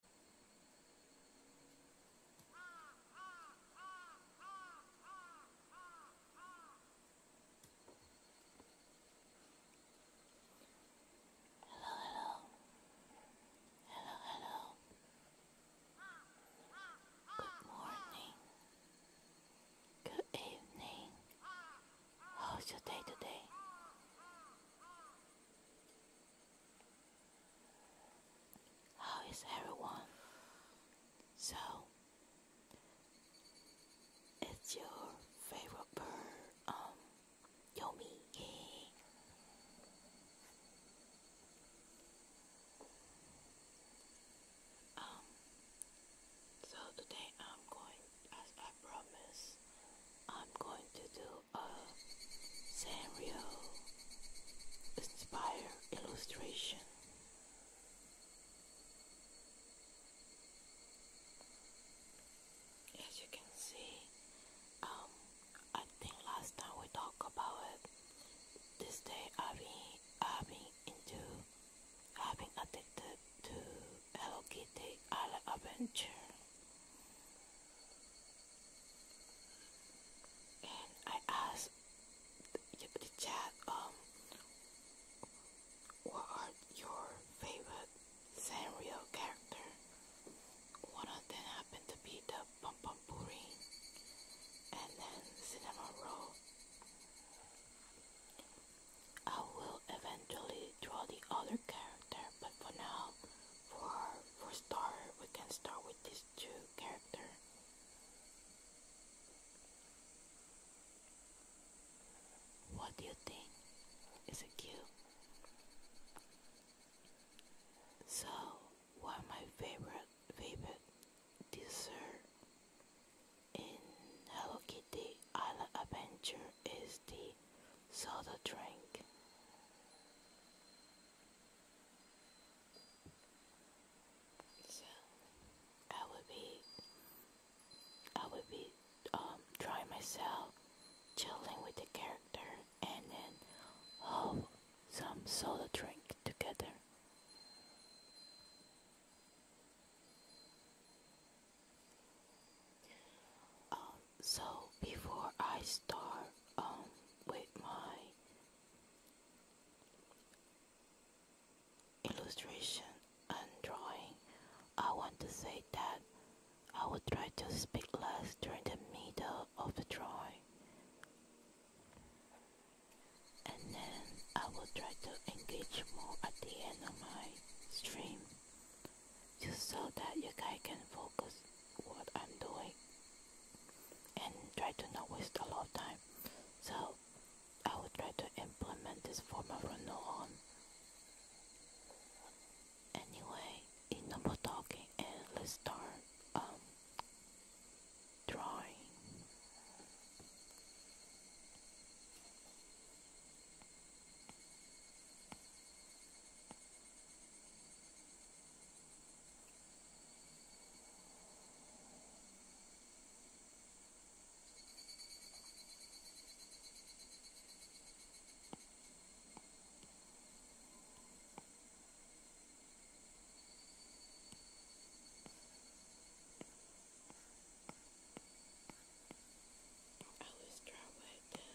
Hello, hello. Hello, hello. Good morning. Good evening. How's your day today? How is everyone? So, it's your favorite bird, um, Yomi. um, so today I'm going, as I promised, I'm going to do a Sanrio inspired illustration. As you can see, um, I think last time we talked about it. This day I've been, I've been into, I've been addicted to Hello Kitty Island Adventure. And I asked the, the chat, um, what are your favorite Sanrio character? One of them happened to be the Pom and then Cinema I will eventually draw the other character, but for now, for for star, we can start with these two character. What do you think? Is it cute? So, what of my favorite favorite dessert in Hello Kitty Island Adventure is the soda drink. So I would be I would be um drawing myself chilling with the character and then hold some soda drink together. Um so before I start um with my illustration and drawing, I want to say that I will try to speak less during the middle of the drawing. And then I will try to engage more at the end of my stream just so that you guys can focus what I'm doing and try to not waste a lot of time. So I will try to implement this form of renewal on. Anyway, enough talking and let's start um, drawing. I was dry like that.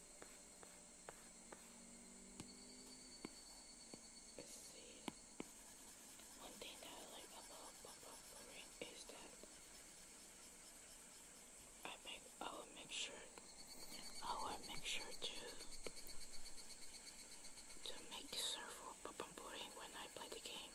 Let's One thing that I like about bubble pouring is that I make I will make sure I will make sure to to make the serve for bubble pouring when I play the game.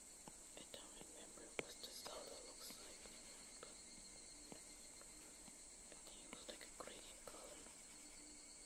I don't remember what the soda looks like, but I think it was like a green color. I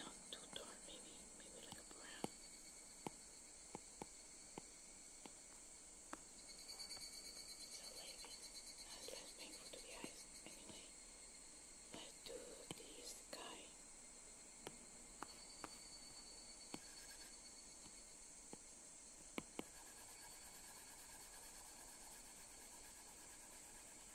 Not too dark, maybe, maybe like a brown. So like that's less painful to the eyes anyway. Let's do the sky. Now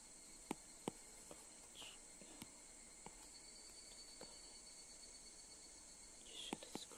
You should scrape this to go.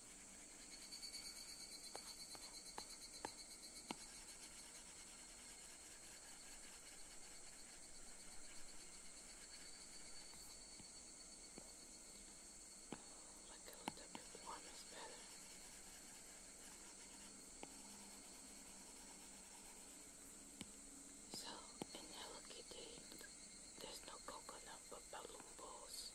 Like a little bit warm is better. So in Hello Kitty, there's no coconut but balloon balls.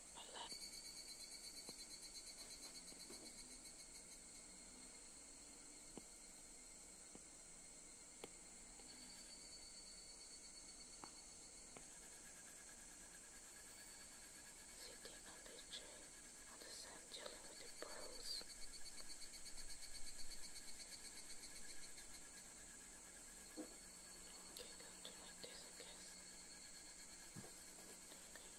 Sitting on this chair on the sand dealing with the pearls. Okay, go to like this I guess. Okay.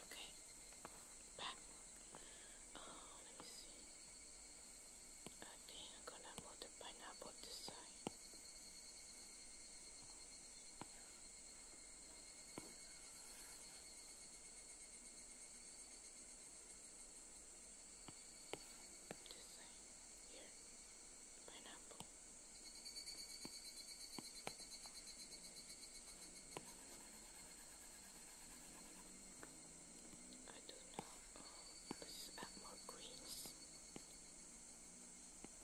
Okay, back. Oh, uh, let me see. Oh, I think I'm gonna put the pineapple this side. This side here, pineapple. I do not. Oh, let's add more greens.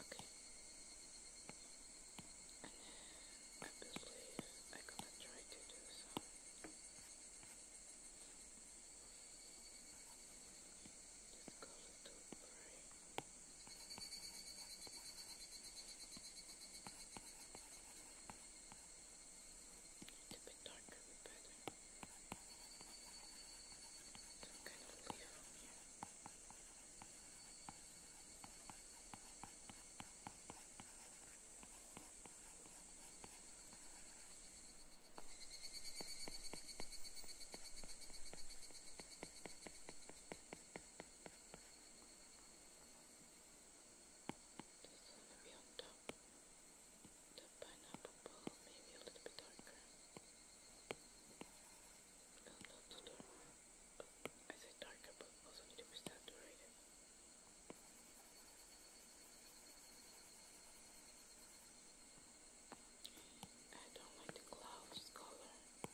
Okay. And then I believe I'm gonna try to do some this color to gray. Okay. A bit darker would be better. Some kind of leaf on here. I this one will be on top. The pineapple ball, maybe a little bit darker. No, not too dark. I said darker, but also need to be saturated. I don't like the clouds color. I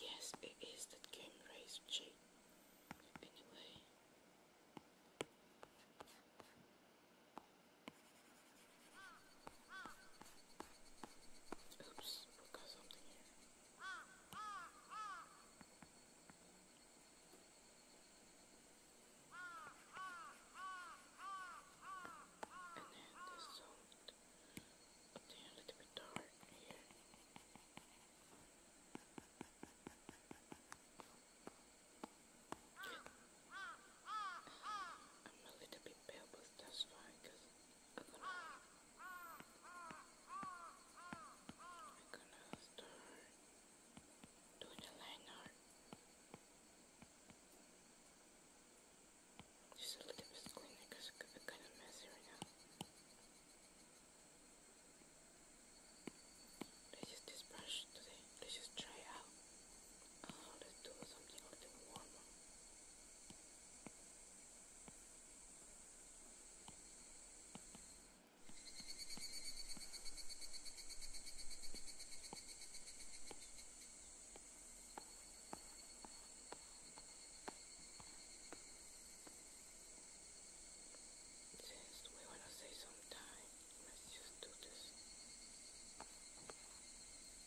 Yes, it is the game race cheat. Anyway. Oops, we got something here. And then this zone. Damn, a little bit dark here. I'm a little bit pale, but that's fine because I'm gonna, start doing the line Just a little bit cleaner because i kind of messy right now. I use this brush today. Let's just try out. Oh, let's do something a little warmer. Since want to save some let's just do this.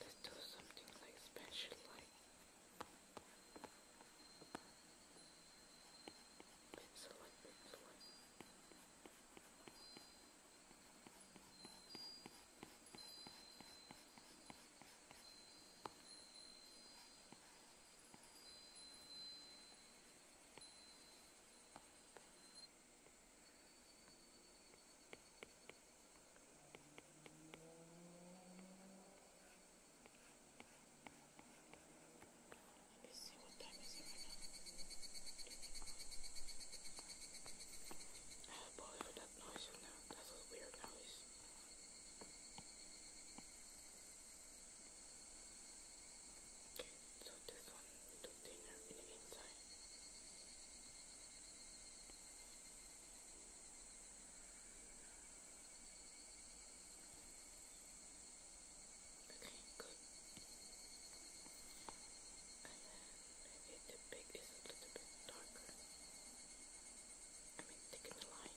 Let's do something like special, like pencil, like pencil, like. Like see what time is it right now. I apologize for that noise right now. That's a weird noise. So this one is too thinner in the inside. Okay, good. And then maybe the big is a little bit darker. I mean, thicken the line.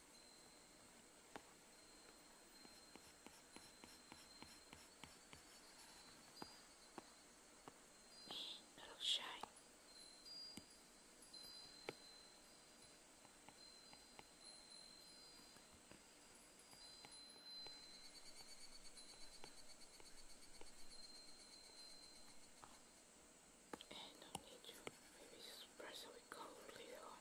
A little shy. And no need to maybe press it with cold later on.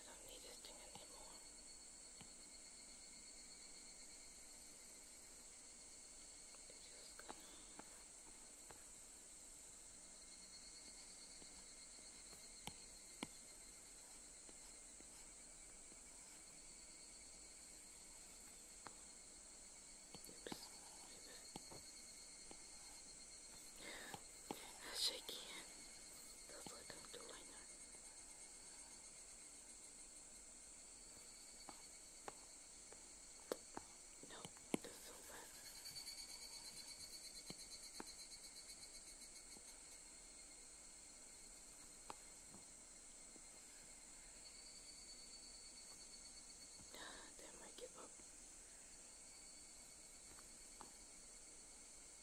I don't need this thing anymore. I'm just gonna Oops as I can. That's what I'm doing now. No, that's so bad. Ah, damn, I give up.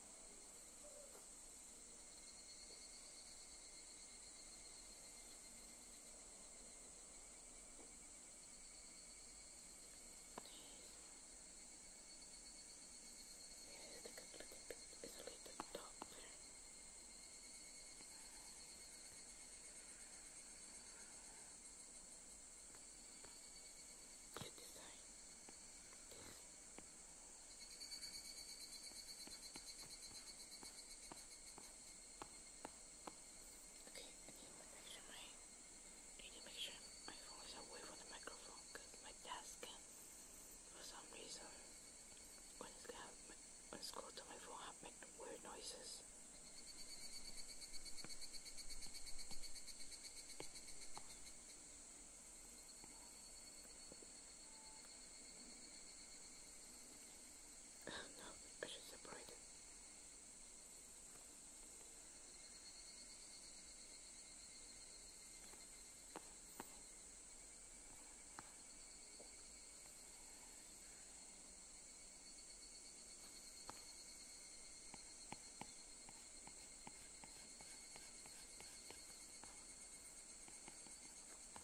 Yes, take a look at it. It's a little top there. Good design. This. Okay, I need to make sure my I need to make sure uh, my phone is away from the microphone because my desk can for some reason when it's got my, when it's close to my phone I make weird noises. Okay, Oh no, I should separate it.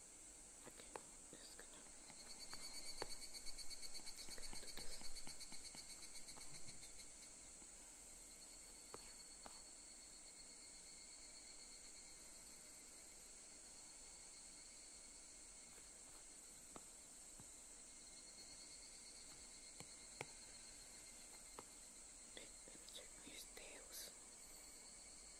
just gonna, gonna do this. Let me check his tails. Okay.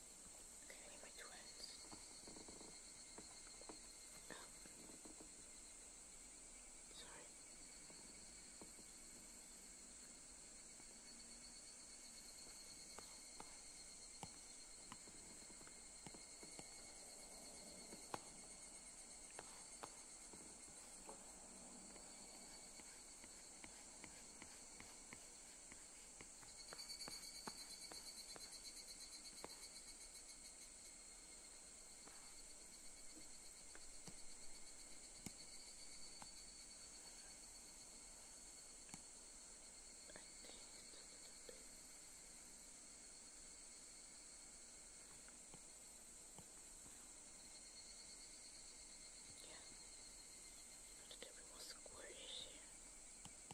Can I my twins? Oh. Sorry. Sorry. Yeah. Not that everyone's square is here.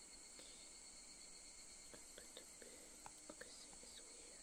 But the bit okay, see it's weird. Okay.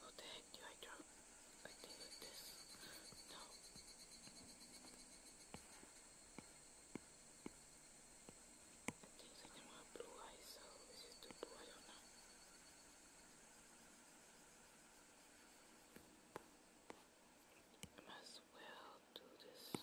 What the heck do I drop? I think this. No. I think like i blue eyes, so is it blue? I I might well do this.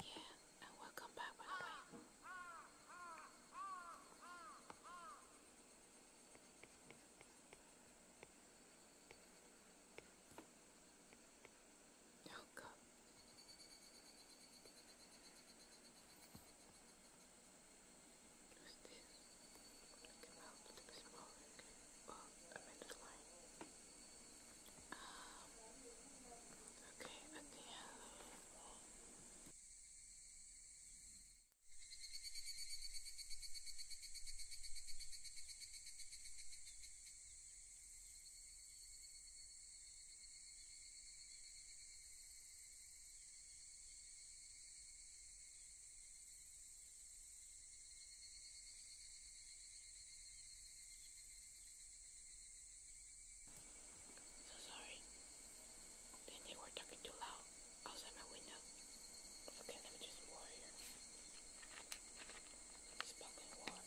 Yeah, and welcome back, by way. Oh, God. Who's this? Make your mouth a little bit smaller, okay? Well, I mean the line. Um, okay, at the end. Okay, so sorry. Then they were talking too loud outside my window. Okay, let me just more here. It's fucking warm.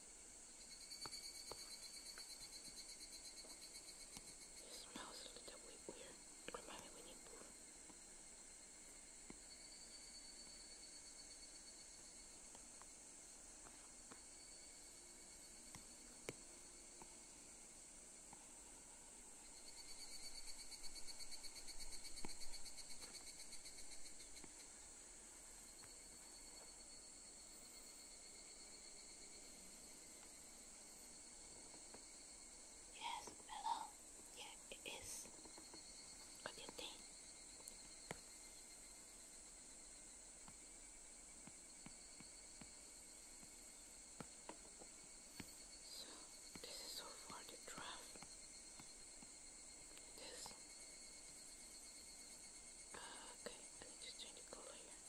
It smells a little bit weird. Remind me we need food. Yes, hello. Yeah, it is. What do you think? So this is so far the draft. This. Uh, okay, I need to change the color here.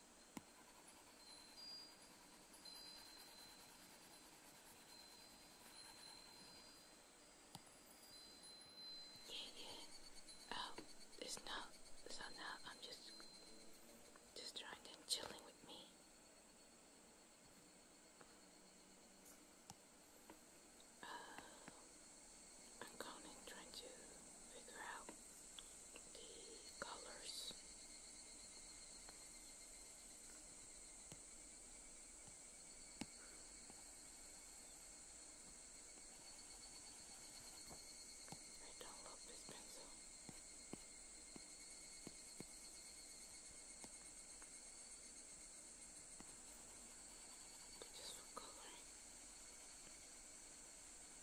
Yeah, yeah. Oh, it's now. So now I'm just, just trying and chilling with me. Uh, I'm going and to figure out the colors. I don't love this pencil. But just for coloring.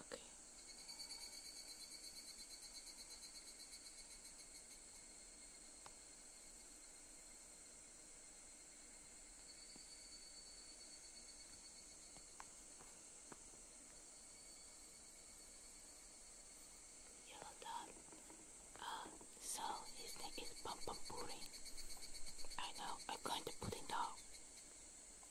Okay. Yellow dot. Uh, so his name is Pom I know. I'm going to pudding dog.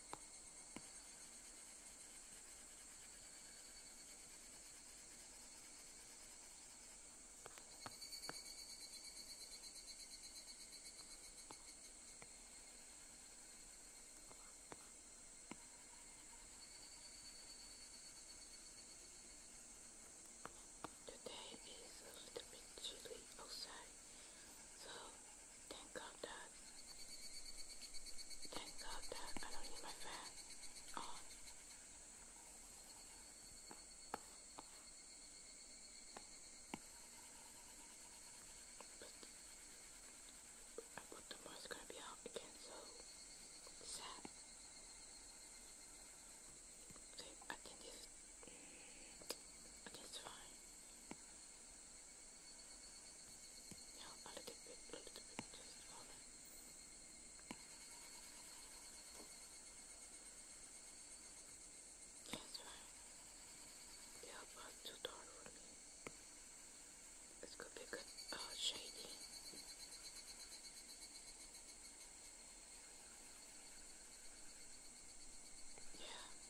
Today is a little bit chilly outside, so Thank God that. Thank God that I don't need my fan on. Uh, but I thought gonna be out again, so sad. I think this. Mm, I think fine. Now a little bit, a little bit, just on it. That's right. Yeah, but too dark for me. It's gonna be good, shady. Yeah.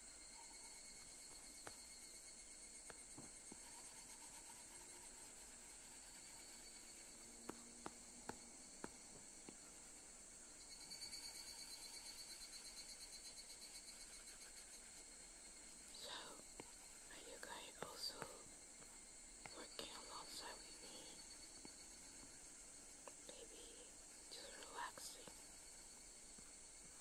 So, are you guys also working alongside with me? Maybe just relaxing.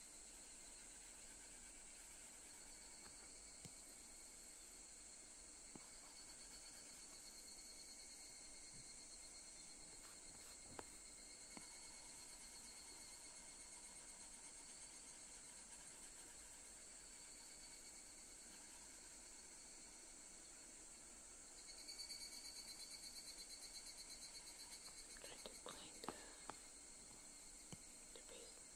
Try to clean uh, the, the base.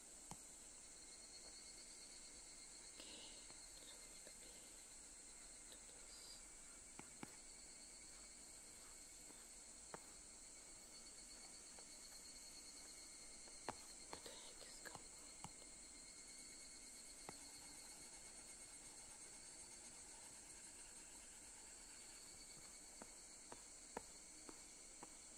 What the heck is going on?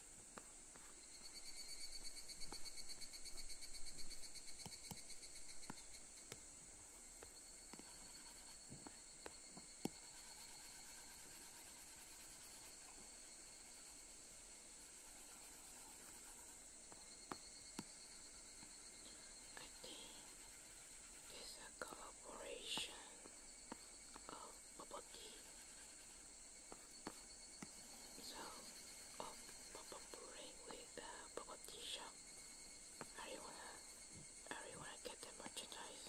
I think it's a collaboration of Popoki. So, oh, Popopuri with the Popoti shop. Are you wanna, are you wanna get the merchandise?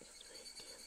It's very cute.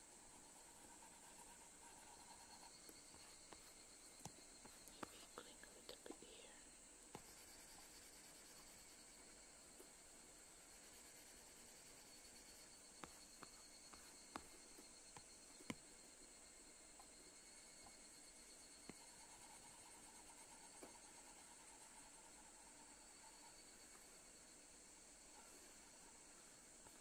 Wiggling a little bit here.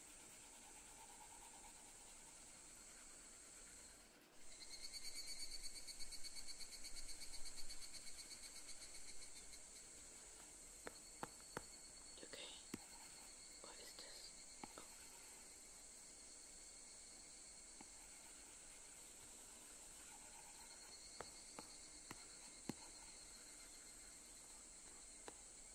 Okay, what is this? Oh.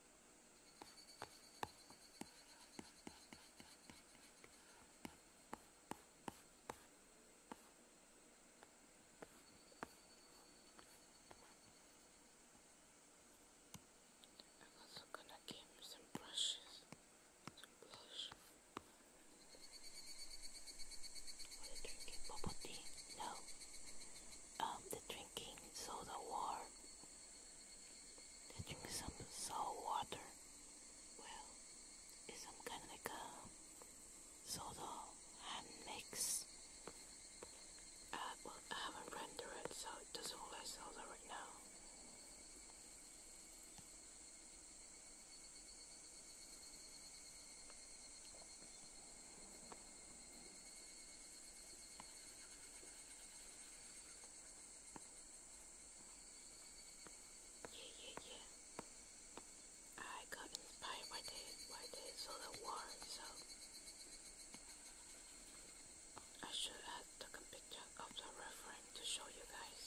I'm also gonna give some brushes, some blush. Are you drinking bubble tea? No. Um, the drinking soda war, the drinking some salt water, well, it's some kind of like a soda and mix. Uh, well, I haven't rendered it, so it doesn't look like soda right now. Yeah, yeah, yeah. I got inspired by the by the solar war, so I should have taken a picture of the reference to show you guys.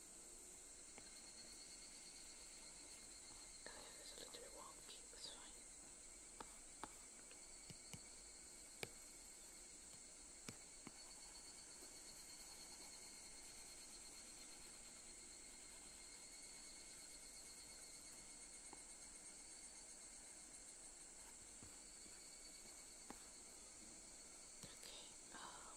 Oh yeah, there's a little bit wonky, that's fine. Okay, oh,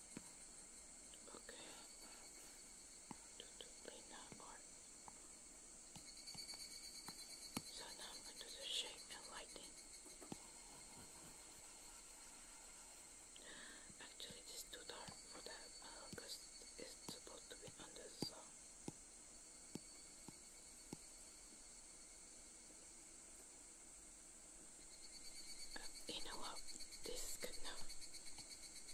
Okay. So now I'm going the shape and lighting. Actually, it is too dark for that because it's supposed to be under the sun. you know what? This is good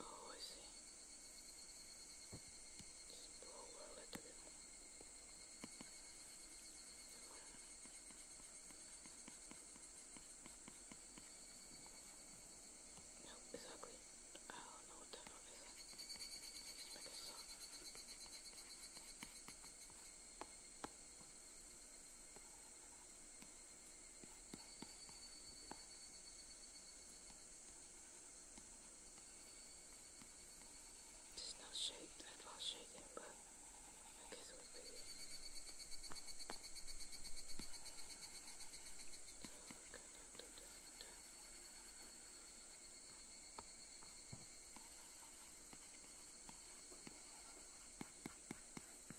Oh, I see. Just blow a little bit more. No, it's ugly. I don't know what the hell is that. Just make it soft. There it's not shaped at all shaking, but I guess it was pretty. Okay,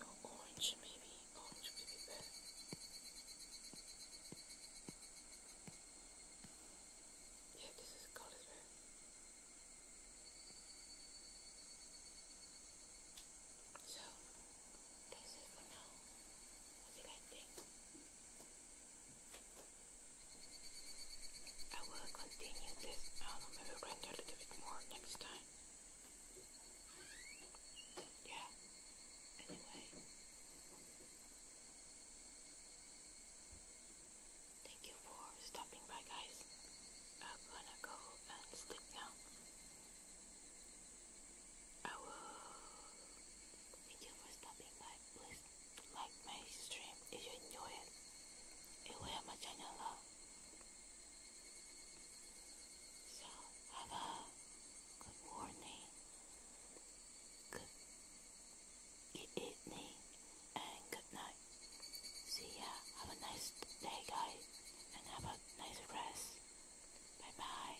Or orange maybe, orange could be better. Yeah, this is cold as well. So, that's it for now. What do you guys think? I will continue this. I do maybe i a little bit more next time. Yeah. Anyway. Thank you for stopping by guys. I'm gonna go and sleep now. I will. Thank you for stopping by. Please like my stream if you enjoy it. It will help my channel out. So have a good morning, good, evening, and good night. See ya. Have a nice day, guys, and have a nice rest. Bye bye.